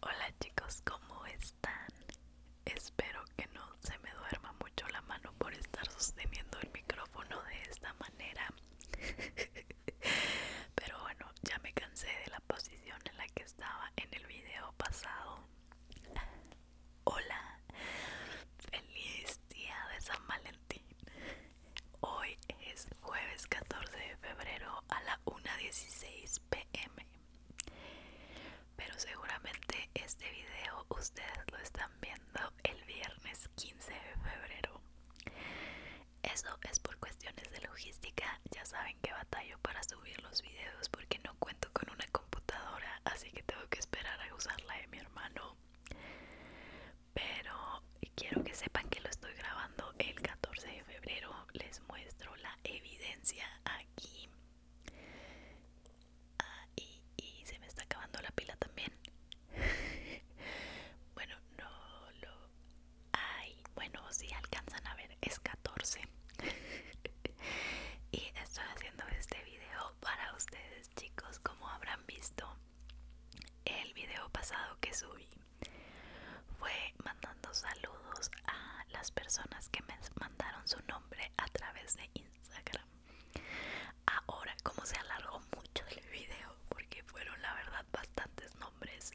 Hola chicos, ¿cómo están? Espero que no se me duerma mucho la mano por estar sosteniendo el micrófono de esta manera. Pero bueno, ya me cansé de la posición en la que estaba en el video pasado. Hola, feliz día de San Valentín. Hoy es jueves 14 de febrero a la 1.16 pm. Pero seguramente este video ustedes lo están viendo el viernes 15 de febrero. Eso es por cuestiones de logística. Ya saben que batallo para subir los videos porque no cuento con una computadora, así que tengo que esperar a usar la de mi hermano pero quiero que sepan que lo estoy grabando el 14 de febrero. Les muestro la evidencia aquí. Ah, y, se me está acabando la pila también. bueno, no lo... hay, bueno, si alcanzan a ver, es 14. y estoy haciendo este video para ustedes, chicos, como habrán visto el video pasado que subí fue mandando saludos a las personas que me mandaron su nombre a través de Instagram. Ahora, como se alargó mucho el video, porque fueron la verdad bastantes nombres,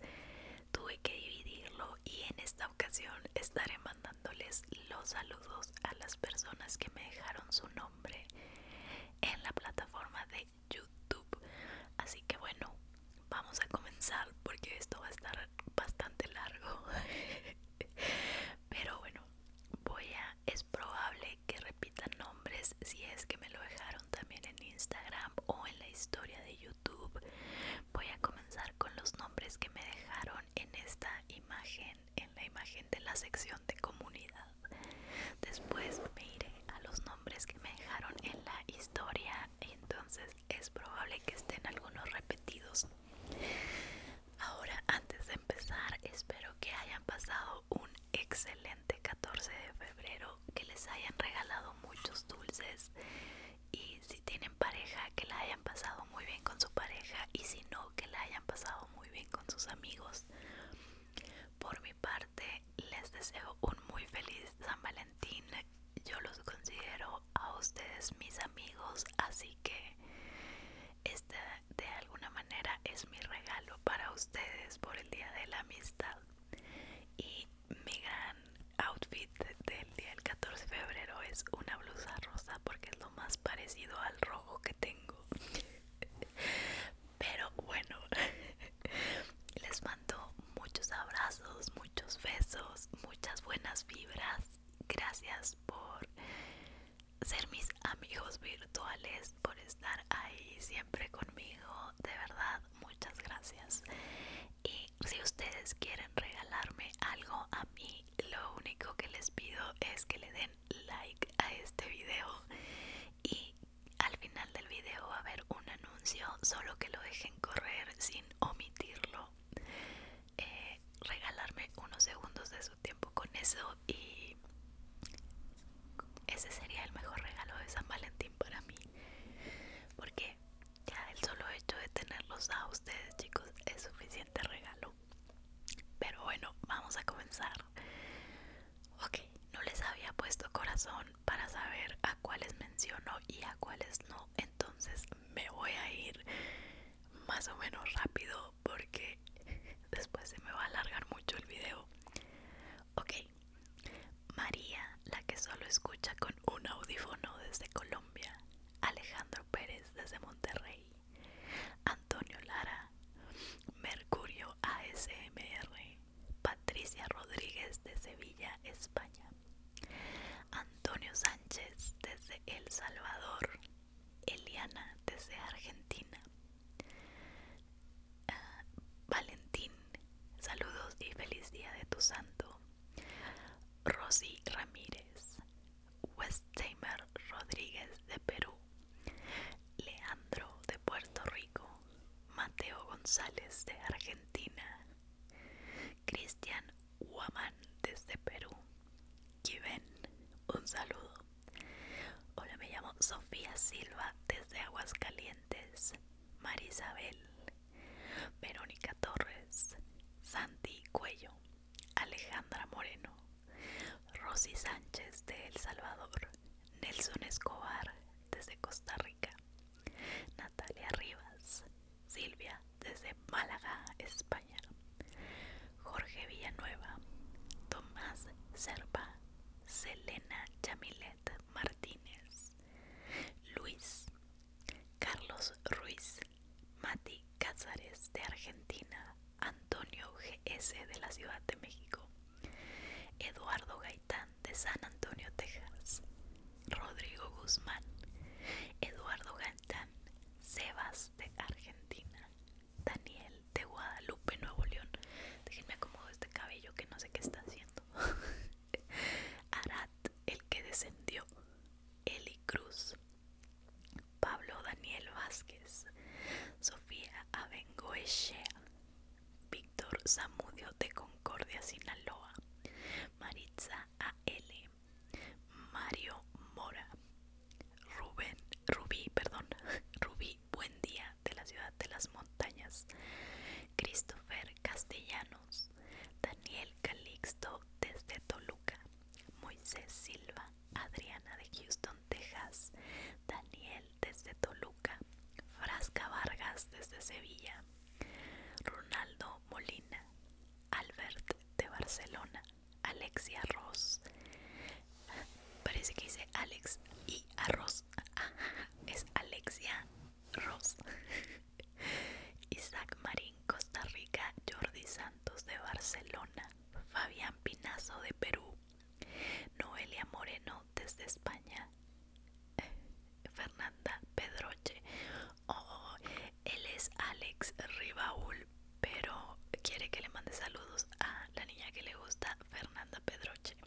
tuve que dividirlo y en esta ocasión estaré mandándoles los saludos a las personas que me dejaron su nombre en la plataforma de YouTube. Así que bueno, vamos a comenzar porque esto va a estar bastante largo. Pero bueno, voy a es probable que repitan nombres si es que me lo dejaron también en Instagram o en la historia de YouTube. Voy a comenzar con los nombres que me dejaron en esta imagen, en la imagen de la sección de comunidad. Después me iré a los nombres que me dejaron en la historia, entonces es probable que estén algunos repetidos. Ahora, antes de empezar, espero que hayan pasado un excelente 14 de febrero, que les hayan regalado muchos dulces y si tienen pareja, que la hayan pasado muy bien con su pareja y si no, que la hayan pasado muy bien con sus amigos. Por parte les deseo un muy feliz San Valentín. Yo los considero a ustedes mis amigos, así que este de alguna manera es mi regalo para ustedes por el Día de la Amistad. Y mi gran outfit del día del 14 de febrero es una blusa rosa porque es lo más parecido al rojo que tengo. Pero bueno, les mando muchos abrazos, muchos besos, muchas buenas vibras. Gracias por ser mis amigos virtuales, por estar ahí siempre conmigo. De verdad, muchas gracias. Y si ustedes quieren regalarme algo a mí, lo único que les pido es que le den like a este video y al final del video va a haber un anuncio, solo que lo dejen correr sin omitirlo. Eh, regalarme unos segundos de su tiempo con eso y ese sería el mejor regalo de San Valentín para mí. Porque ya el solo hecho de tenerlos a ustedes chicos es suficiente regalo. Pero bueno, vamos a comenzar. Ok, no les había puesto corazón para saber a cuáles menciono y a cuáles no, entonces me voy a ir más o menos rápido porque después se me va a alargar mucho el video. Ok, María, la que solo escucha con un audífono desde Colombia, Alejandro Pérez desde Monterrey, Antonio Lara, Mercurio ASMR, Patricia Rodríguez de Sevilla, España. Antonio Sánchez desde El Salvador. Eliana desde Argentina. Ah, Valentín, saludos y feliz día de tu santo. Rosy Ramírez. Westheimer Rodríguez de Perú. Leandro de Puerto Rico. Mateo González de Argentina, Cristian Huamán desde Perú, Given, un saludo. Hola, me llamo Sofía Silva desde Aguascalientes, Marisabel, Verónica Torres, Santi Cuello, Alejandra Moreno, Rosy Sánchez de El Salvador, Nelson Escobar desde Costa Rica, Natalia Rivas, Silvia desde Málaga, España. Jorge Villanueva, Tomás Serpa, Selena Chamilet Martínez, Luis, Carlos Ruiz, Mati Cázares de Argentina, Antonio GS de la Ciudad de México, Eduardo Gaitán de San Antonio, Texas, Rodrigo Guzmán, Eduardo Gantán; Sebas de Argentina, Daniel de Guadalupe, Nuevo León. Déjenme acomodo este cabello que no sé qué está haciendo. Arat, el que descendió, Eli Cruz, Pablo Daniel Vázquez, Sofía Abengoechea, Víctor Zamudio de Concordia, Sinaloa, Maritza A.L., Mario Mora, Rubén, Rubí, perdón, Rubí Buendía de la Ciudad de las Montañas, Christopher Castellanos, Daniel Calixto desde Toluca, Moisés Silva, Adriana de Houston, Texas, Daniel desde Toluca, Frasca Vargas desde Sevilla, Ronaldo Molina, Albert de Barcelona, Alexia Ross. Parece que dice Alex y Arroz. Ah, es Alexia Ross. Isaac Marín, Costa Rica, Jordi Santos de Barcelona, Fabián Pinazo de Perú, Noelia Moreno desde España, Fernanda Pedroche. Oh, él es Alex Rivaul pero quiere que le mande saludos a la niña que le gusta, Fernanda Pedroche.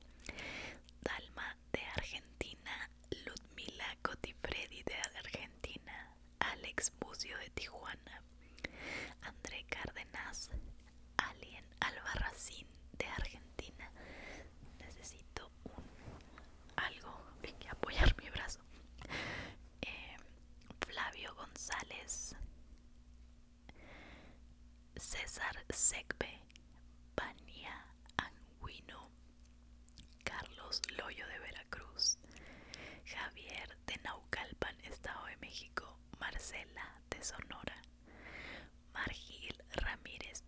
Dalma de Argentina, Ludmila Cotifredi de Argentina, Alex Bucio de Tijuana, André Cárdenas, Alien Albarracín de Argentina. Necesito algo que apoyar mi brazo. Eh, Flavio González, César Segbe Pania Anguino, Carlos Loyo de Veracruz, Javier de Naucalpan, Estado de México, Marcela de Sonora, Margil Ramírez,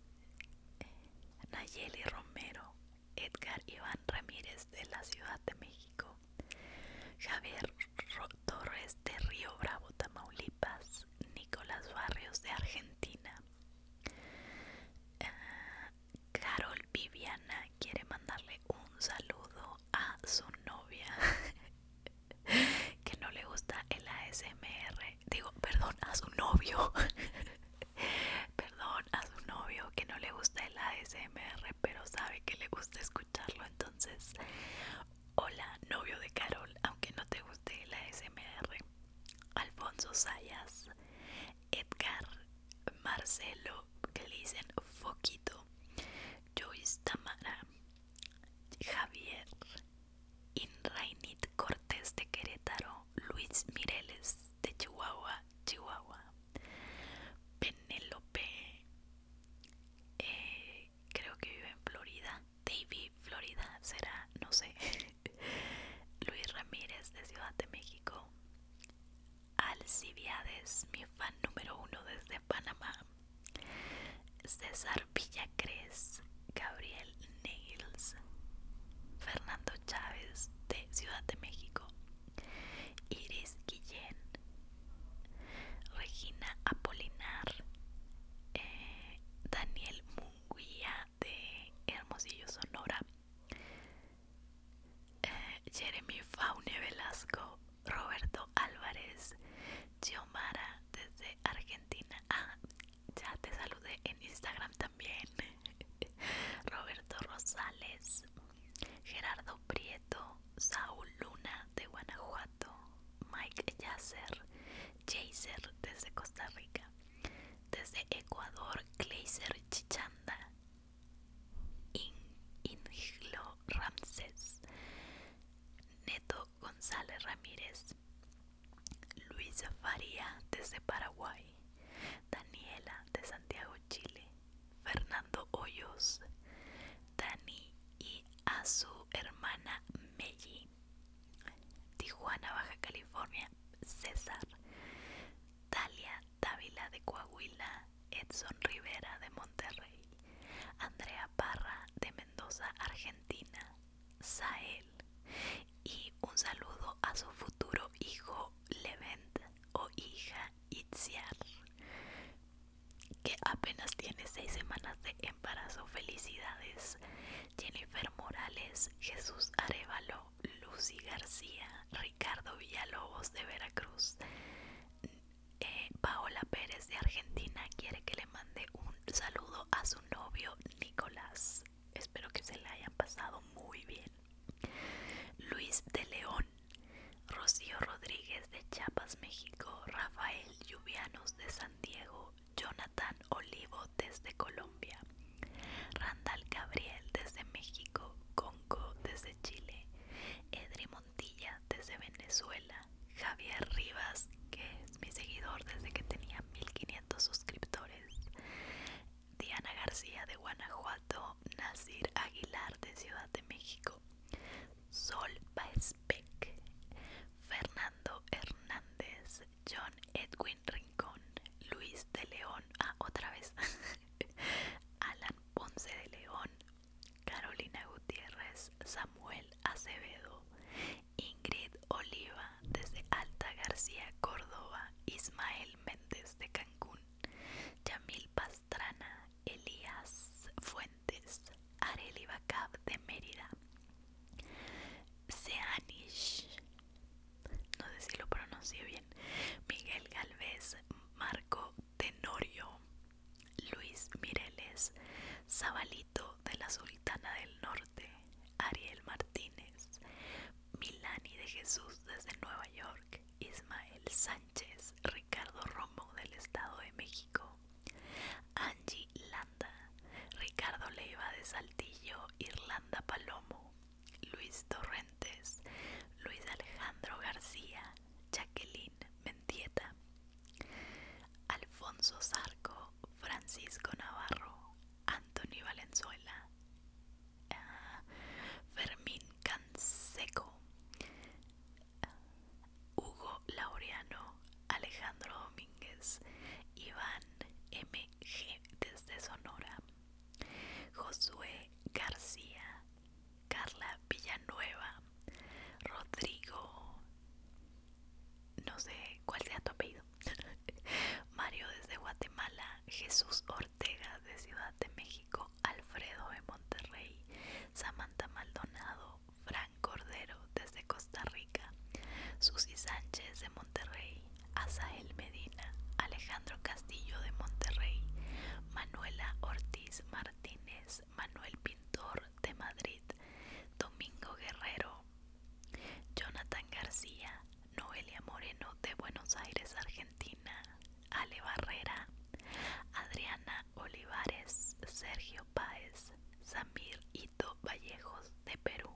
Nayeli Romero, Edgar Iván Ramírez de la Ciudad de México, Javier Torres de Río Bravo, Tamaulipas, Nicolás Barrios de Argentina, eh, Carol Viviana quiere mandarle un saludo a su novia que no le gusta el ASMR digo, perdón a su novio, perdón a su novio que no le gusta el ASMR, pero sabe que le gusta escucharlo. Entonces, hola, novio de Carol, aunque no te guste el ASMR, Alfonso Sayas, Edgar, Marcelo, que le dicen Foquito, Joyce Tamara, Javier. Inrainit Cortés de Querétaro, Luis Mireles de Chihuahua, Chihuahua, Penélope, eh, creo que vive en Florida, David, Florida, será, no sé, Luis Ramírez de Ciudad de México, Alcibiades, mi fan número uno desde Panamá, César Villacrés, Gabriel Fernando Chávez de Ciudad de México, Iris Guillén, Regina Apolinar, eh, Daniel Munguía de Hermosillo, Sonora, eh, Jeremy Faune Velasco, Roberto Álvarez, Mara desde Argentina. Ah, ya te saludé en Instagram también. Roberto Rosales, Gerardo Prieto, Saúl Luna de Guanajuato, Mike Yasser Jaser desde Costa Rica, desde Ecuador, Gleiser Chichanda, Inglo Ramses, Neto González Ramírez, Luisa Faría desde Paraguay, Daniela de Santiago, Chile, Fernando Hoyos, Dani y a su hermana Melly, Tijuana, Baja California, César, Talia Dávila de Coahuila, Edson Rivera de Monterrey, Andrea Parra de Mendoza, Argentina, Sael y un saludo a su futuro hijo Levent o hija Itziar que apenas tiene seis semanas de embarazo. Felicidades Jennifer Morales, Jesús Arevalo, Lucy García, Ricardo Villalobos de Veracruz, eh, Paola Pérez de Argentina quiere que le mande un saludo a su novio Nicolás. Espero que se la haya pasado muy bien. Luis de León, Rocío Rodríguez de Chiapas, México, Rafael Lluvianos de San Diego, Jonathan Olivo desde Colombia, Randall Gabriel desde México, Conco desde Chile, Edri Montilla desde Venezuela, Javier Rivas, que es mi seguidor desde que tenía 1500 suscriptores. Diana García de Guanajuato, Nasir Aguilar de Ciudad de México, Sol Baezbeck, Fernando Hernández, John Edwin Rincón, Luis de León, ah, otra vez, Alan Ponce de León, Carolina Gutiérrez, Samuel Acevedo, Ingrid Oliva desde Alta García, Córdoba, Ismael Méndez de Cancún, Yamil Pastrana, Elías Fuentes, Areli Bacab de Mérida, Seanish, no sé si lo pronuncio bien, Miguel Galvez, Marco Tenorio, Luis Mireles, Zabalito de la Sultana del Norte, Ariel Martínez, Milani de Jesús desde Nueva York, Ismael Sánchez, Ricardo Romo del Estado de México, Angie Landa, Ricardo Leiva de Saltillo, Irlanda Palomo, Luis Torrentes, Luis Alejandro García, Jacqueline Mendieta, Alfonso Zarco, Francisco Navarro, Anthony Valenzuela, eh, Fermín Canseco, eh, Hugo Laureano, Alejandro Domínguez, Iván MG desde Sonora, Josué García, Carla Villanueva, Rodrigo, no sé cuál sea tu apellido. Mario desde Guatemala, Jesús Ortega de Ciudad de México, Alfredo de Monterrey, Samantha Maldonado, Fran Cordero desde Costa Rica, Susi Sánchez de Monterrey, Asael Medina, Alejandro Castillo de Monterrey, Manuela Ortiz Martínez, Manuel Pintor de Madrid, Domingo Guerrero, Jonathan García, Noelia Moreno de Buenos Aires, Argentina, Ale Barrera, Adriana Olivares, Sergio Páez, Samir Ito Vallejos de Perú,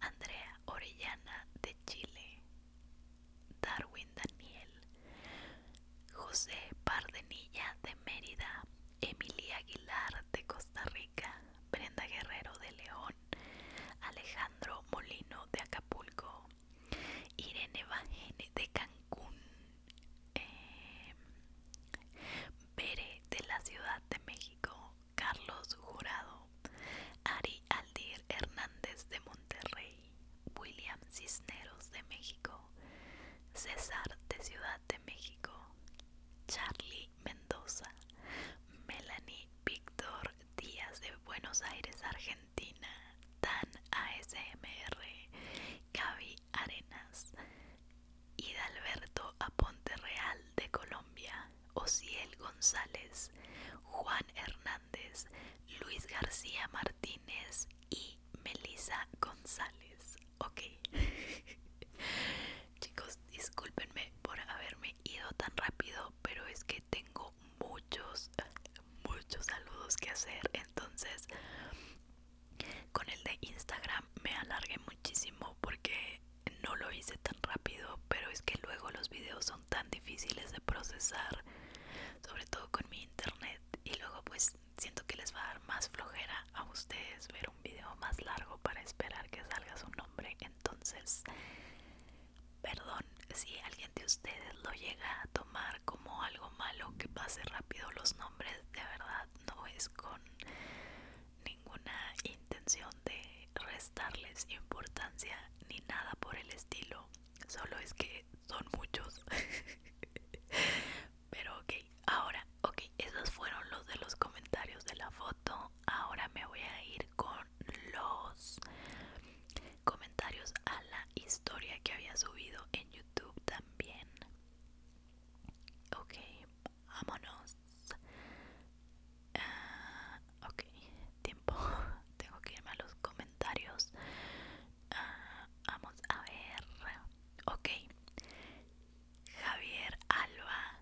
Andrea Orellana de Chile, Darwin Daniel, José Pardenilla de Mérida, Emilia Aguilar de Costa Rica, Brenda Guerrero de León, Alejandro Molino de Acapulco, Irene Bajene de Cancún, Pere em, de la Ciudad de México, Carlos Jurado, Ari Aldir Hernández de Monterrey, William Cisneros de México, César de Ciudad de México, Charlie Mendoza, Melanie Víctor Díaz de Buenos Aires, Argentina, Dan ASMR, Gaby Arenas, Hidalberto Aponte Real de Colombia, Osiel González, Juan Hernández, Luis García Martínez y Melisa González. Ok. Chicos, discúlpenme por haberme ido tan rápido, pero es que tengo muchos, muchos saludos que hacer. Entonces, con el de Instagram me alargué muchísimo porque no lo hice tan rápido, pero es que luego los videos son tan difíciles de procesar, sobre todo con mi internet. Y luego pues siento que les va a dar más flojera a ustedes ver un video más largo para esperar que salga su nombre. Entonces, perdón si alguien de ustedes lo llega a tomar como algo malo que pase rápido los nombres. De verdad, no es con ninguna intención de restarles importancia ni nada por el estilo. Solo es que son muchos. Pero ok, ahora, ok, esos fueron los de los comentarios de la foto. Ahora me voy a ir con los comentarios a la historia que había subido en YouTube también. Ok, vámonos. Ah, ok, tiempo. Tengo que irme a los comentarios. Ah, vamos a ver. Ok. Javier Alba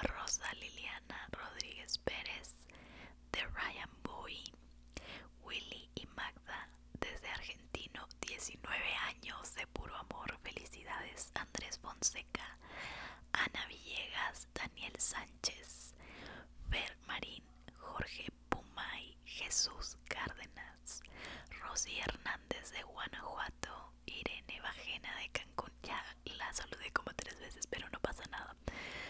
Rosa Liliana Rodríguez Pérez de Ryan Boy, Willy y Magda desde Argentino, 19 años de puro amor, felicidades Andrés Fonseca, Ana Villegas, Daniel Sánchez, Fer Marín, Jorge Pumay, Jesús Cárdenas, Rosy Hernández de Guanajuato, Irene Vajena, de Cancún ya la saludé como tres veces, pero no pasa nada.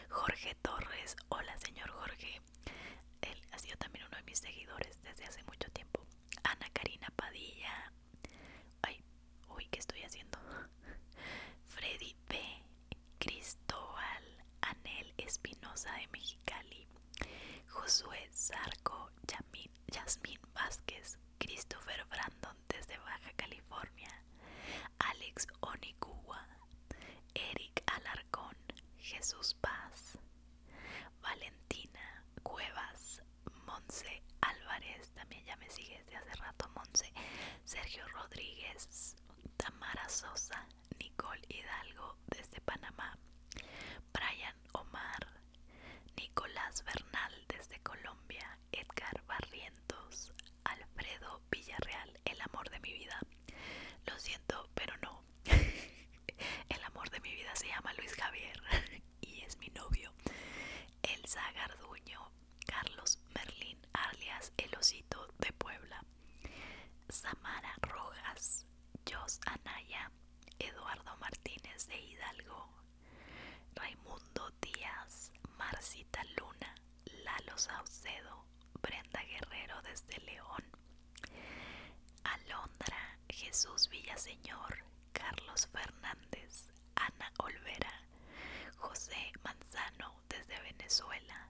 Jorge Torres, hola señor Jorge. Él ha sido también uno de mis seguidores desde hace mucho tiempo. Ana Karina Padilla. Ay, uy, ¿qué estoy haciendo? Freddy P. Cristóbal. Anel Espinosa de Mexicali. Josué Zarco. Yasmín Vázquez. Christopher Brandon desde Baja California. Alex Onicua, Eric Alarcón, Jesús Paz, Valentina Cuevas, Monse Álvarez, también ya me sigue desde hace rato Monse, Sergio Rodríguez, Tamara Sosa, Nicole Hidalgo desde Panamá, Brian Omar, Nicolás Bernal desde Colombia, Edgar Barrientos, Alfredo Villarreal, el amor de mi vida. Lo siento, pero no. el amor de mi vida se llama Luis Javier y es mi novio. Elsa Garduño, Carlos Merlín, alias El Osito de Puebla. Samara Rojas, Jos Anaya, Eduardo Martínez de Hidalgo, Raimundo Díaz, Marcita Luna, Lalo Saucedo, Brenda Guerrero desde León, Alondra, Jesús Villaseñor, Carlos Fernández, Ana Olvera, José Manzano desde Venezuela,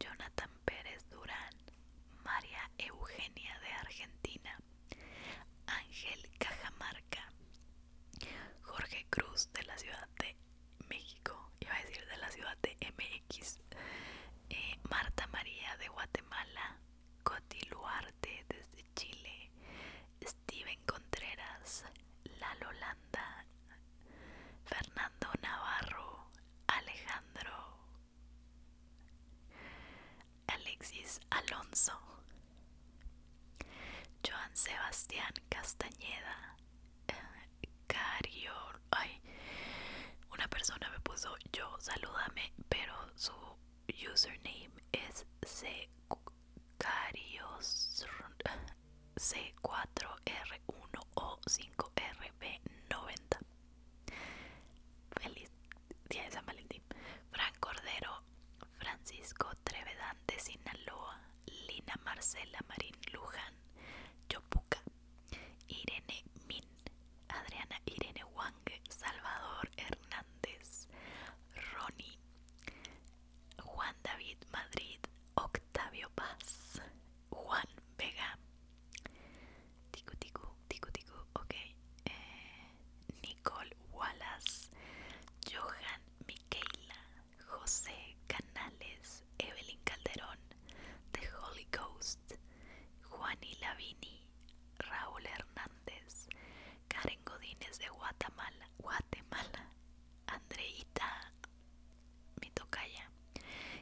Jonathan Pérez Durán, María Eugenia de Argentina, Ángel Cajamarca, Jorge Cruz de la ciudad de México, iba a decir de la ciudad de MX, eh, Marta María de Guatemala, Coti Luarte desde Chile, Steven Contreras, La Landa, Fernando Navarro, Alejandro, Alexis Alonso, Joan Sebastián Castañeda eh, Cario ay una persona me puso yo salúdame pero su username es C C4R1O5RB90 Feliz día de San Valentín Fran Cordero Francisco Trevedante Sinaloa, Lina Marcela Marín Luján, Yopuca Irene Min, Adriana Irene Wang, Salvador Hernández, Ronnie, Juan David Madrid, Octavio Paz, Juan Vega, Tico tico Tico eh, Nicole Wallace, Johan Miquela, José Canales, Evelyn Calderón, The Holy Ghost, Juani Lavini, Raúl Hernández, Karen Godínez de Guatemala, Guatemala, Andreita Mitocaya,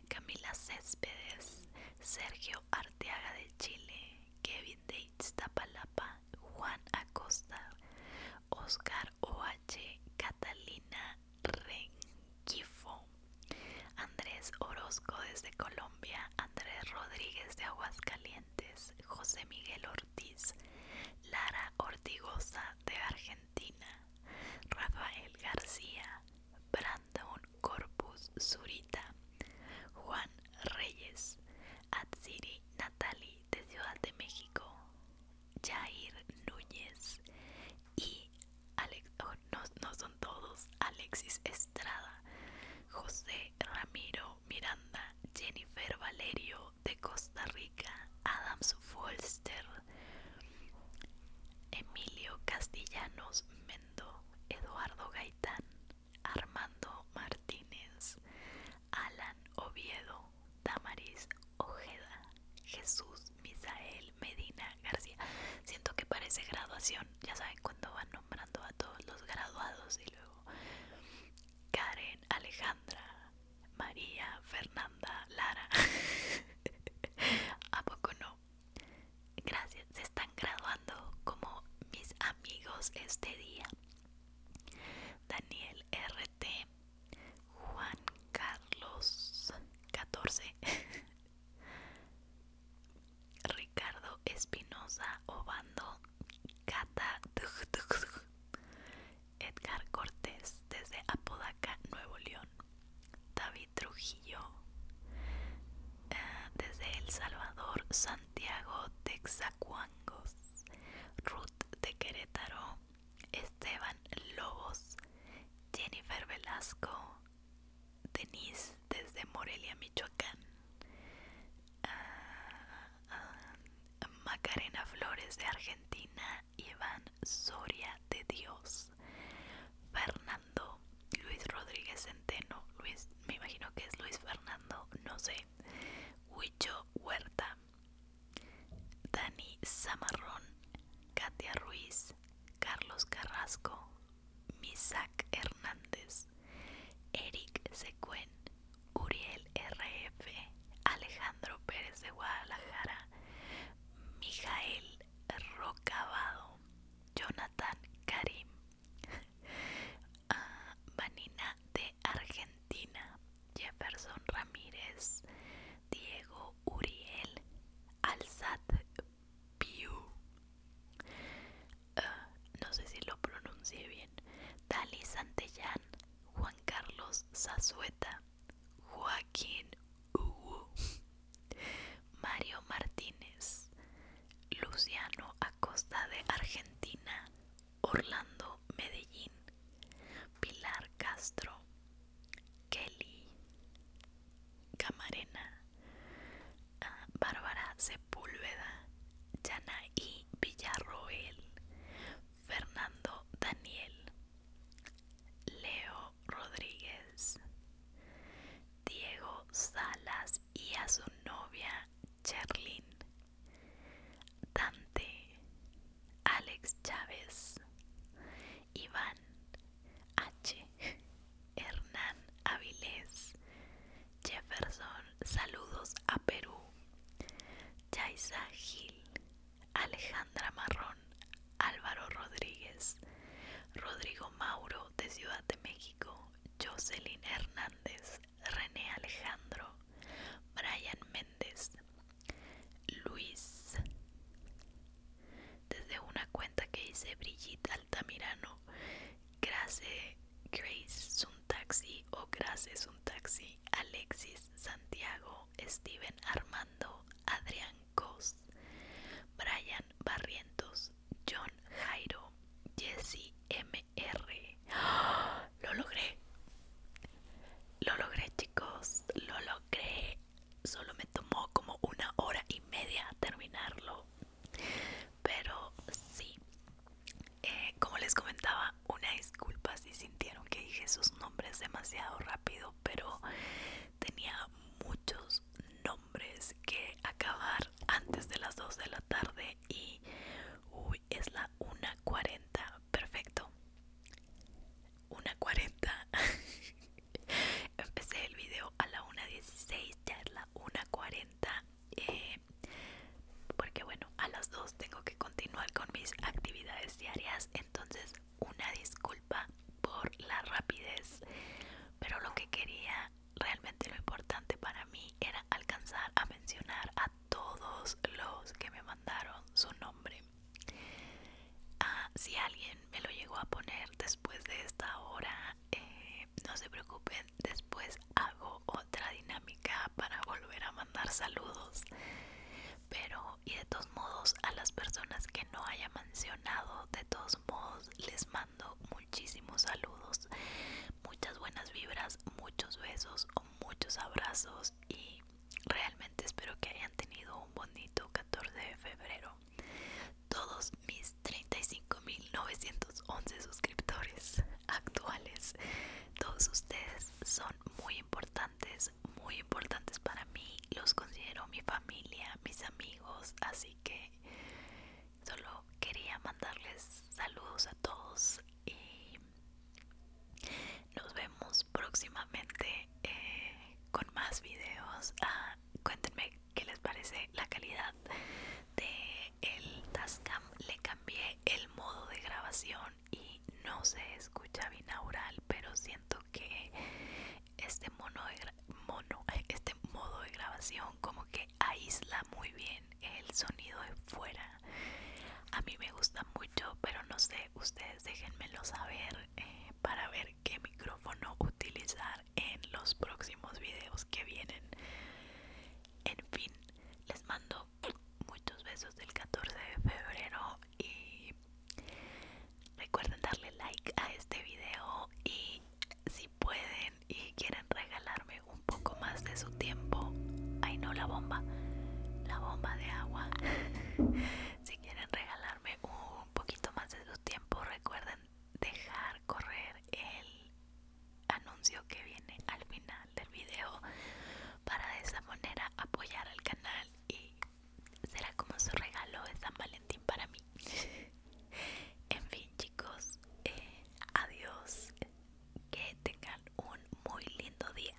Camila Céspedes, Sergio Arteaga de Chile, Kevin de Iztapalapa, Juan Acosta, Oscar Oval. Catalina Renquifo, Andrés Orozco desde Colombia, Andrés Rodríguez de Aguascalientes, José Miguel Ortiz, Lara Ortigosa de Argentina, Rafael García, Brandon Corpus Zurita, Juan Reyes, Atsiri Natali de Ciudad de México, Jair Núñez y Alex, no, son todos, Alexis Estrada, José Ramiro Miranda, Jennifer Valerio de Costa Rica, Adams Folster, Emilio Castellanos Mendo, Eduardo Gaitán, Armando Martínez, Alan Oviedo, Tamaris Ojeda, Jesús Misael Medina García. Siento que parece graduación, ya saben cuando van nombrando a todos los graduados y luego Karen Alejandra, María Fernanda Lara. ¿A poco no? Gracias, se están graduando como mis amigos este día. Daniel RT, Juan Carlos 14 Ricardo Espinoza Obando Cata Edgar Cortés desde Apodaca, Nuevo León David Trujillo eh, desde El Salvador Santiago Texacuangos Ruth de Querétaro Esteban Lobos, Jennifer Velasco, Denise desde Morelia, Michoacán, ah, ah, Macarena Flores de Argentina, Iván Soria de Dios, Fernando, Luis Rodríguez Centeno, Luis, me imagino que es Luis Fernando, no sé, Huicho Huerta, Dani Zamarrón, Katia Ruiz, Carlos Carrasco, Misak Hernández, Eric Secuen, Uriel RF, Alejandro Pérez de Guadalajara, Mijael Rocabado, Jonathan Karim, ah, Vanina de Argentina, Jefferson Ramírez, Diego Uriel, Alzat Piu, ah, no sé si lo pronuncie bien, Dali Santellán, Juan Carlos Zazueta, Joaquín Hugo, Mario Martínez, Luciano Acosta de Argentina, Orlando Medellín, Pilar Castro, Kelly Camarena, ah, Bárbara Sepúlveda, y Villarroel, Fernando Daniel, Leo Rodríguez, Diego Salas y a su novia Cherlin, Dante, Alex Chávez, Iván H, Hernán Avilés, Jefferson, saludos a Perú, Yaisa Gil, Alejandra Marrón, Álvaro Rodríguez, Rodrigo Mauro de Ciudad de México, Jocelyn Hernández, René Alejandro, Brian Méndez, Luis. Desde una cuenta que hice, Brigitte Altamirano, Grace Grace taxi o Grace taxi, Alexis Santiago, Steven Armando, Adrián Cos, Brian Barrientos, John Jairo, Jesse MR. ¡Ah! Lo logré. Lo logré, chicos. Lo logré. Solo me tomó como una hora y media terminarlo. Pero sí. Eh, como les comentaba, una disculpa si sintieron que dije sus nombres demasiado rápido, pero tenía muchos nombres que acabar antes de las 2 de la tarde y uy, es la 1.40. Perfecto. 1.40 Empecé el video a la 1.16, ya es la 1.40 eh, Porque bueno, a las 2 tengo que continuar con mis actividades diarias Entonces una disculpa por la rapidez Pero lo que quería, realmente lo importante para mí era alcanzar a mencionar a todos los que me mandaron su nombre Ah, si alguien me lo llegó a poner después de esta hora, eh, no se preocupen, después hago otra dinámica para volver a mandar saludos. Pero, y de todos modos, a las personas que no haya mencionado, de todos modos, les mando muchísimos saludos, muchas buenas vibras, muchos besos, o muchos abrazos y realmente espero que hayan tenido un bonito 14 de febrero. Todos mis 35.911 suscriptores actuales, todos ustedes son muy importantes, muy importantes para mí, los considero mi familia, mis amigos, así que solo quería mandarles saludos a todos y nos vemos próximamente eh, con más videos. Ah, cuéntenme qué les parece la calidad de el Tascam. Le cambié el modo de grabación y no se escucha binaural, pero siento que este mono este modo de grabación como que aísla muy bien el sonido de fuera a mí me gusta mucho pero no sé ustedes déjenmelo saber eh, para ver qué micrófono utilizar en los próximos videos que vienen en fin les mando muchos besos del 14 de febrero y recuerden darle like a este video y si pueden y quieren regalarme un poco más de su tiempo ay no la bomba la bomba de agua si quieren regalarme un poquito más de su tiempo, recuerden dejar correr el anuncio que viene al final del video para de esa manera apoyar al canal y será como su regalo de San Valentín para mí. en fin, chicos, eh, adiós. Que tengan un muy lindo día.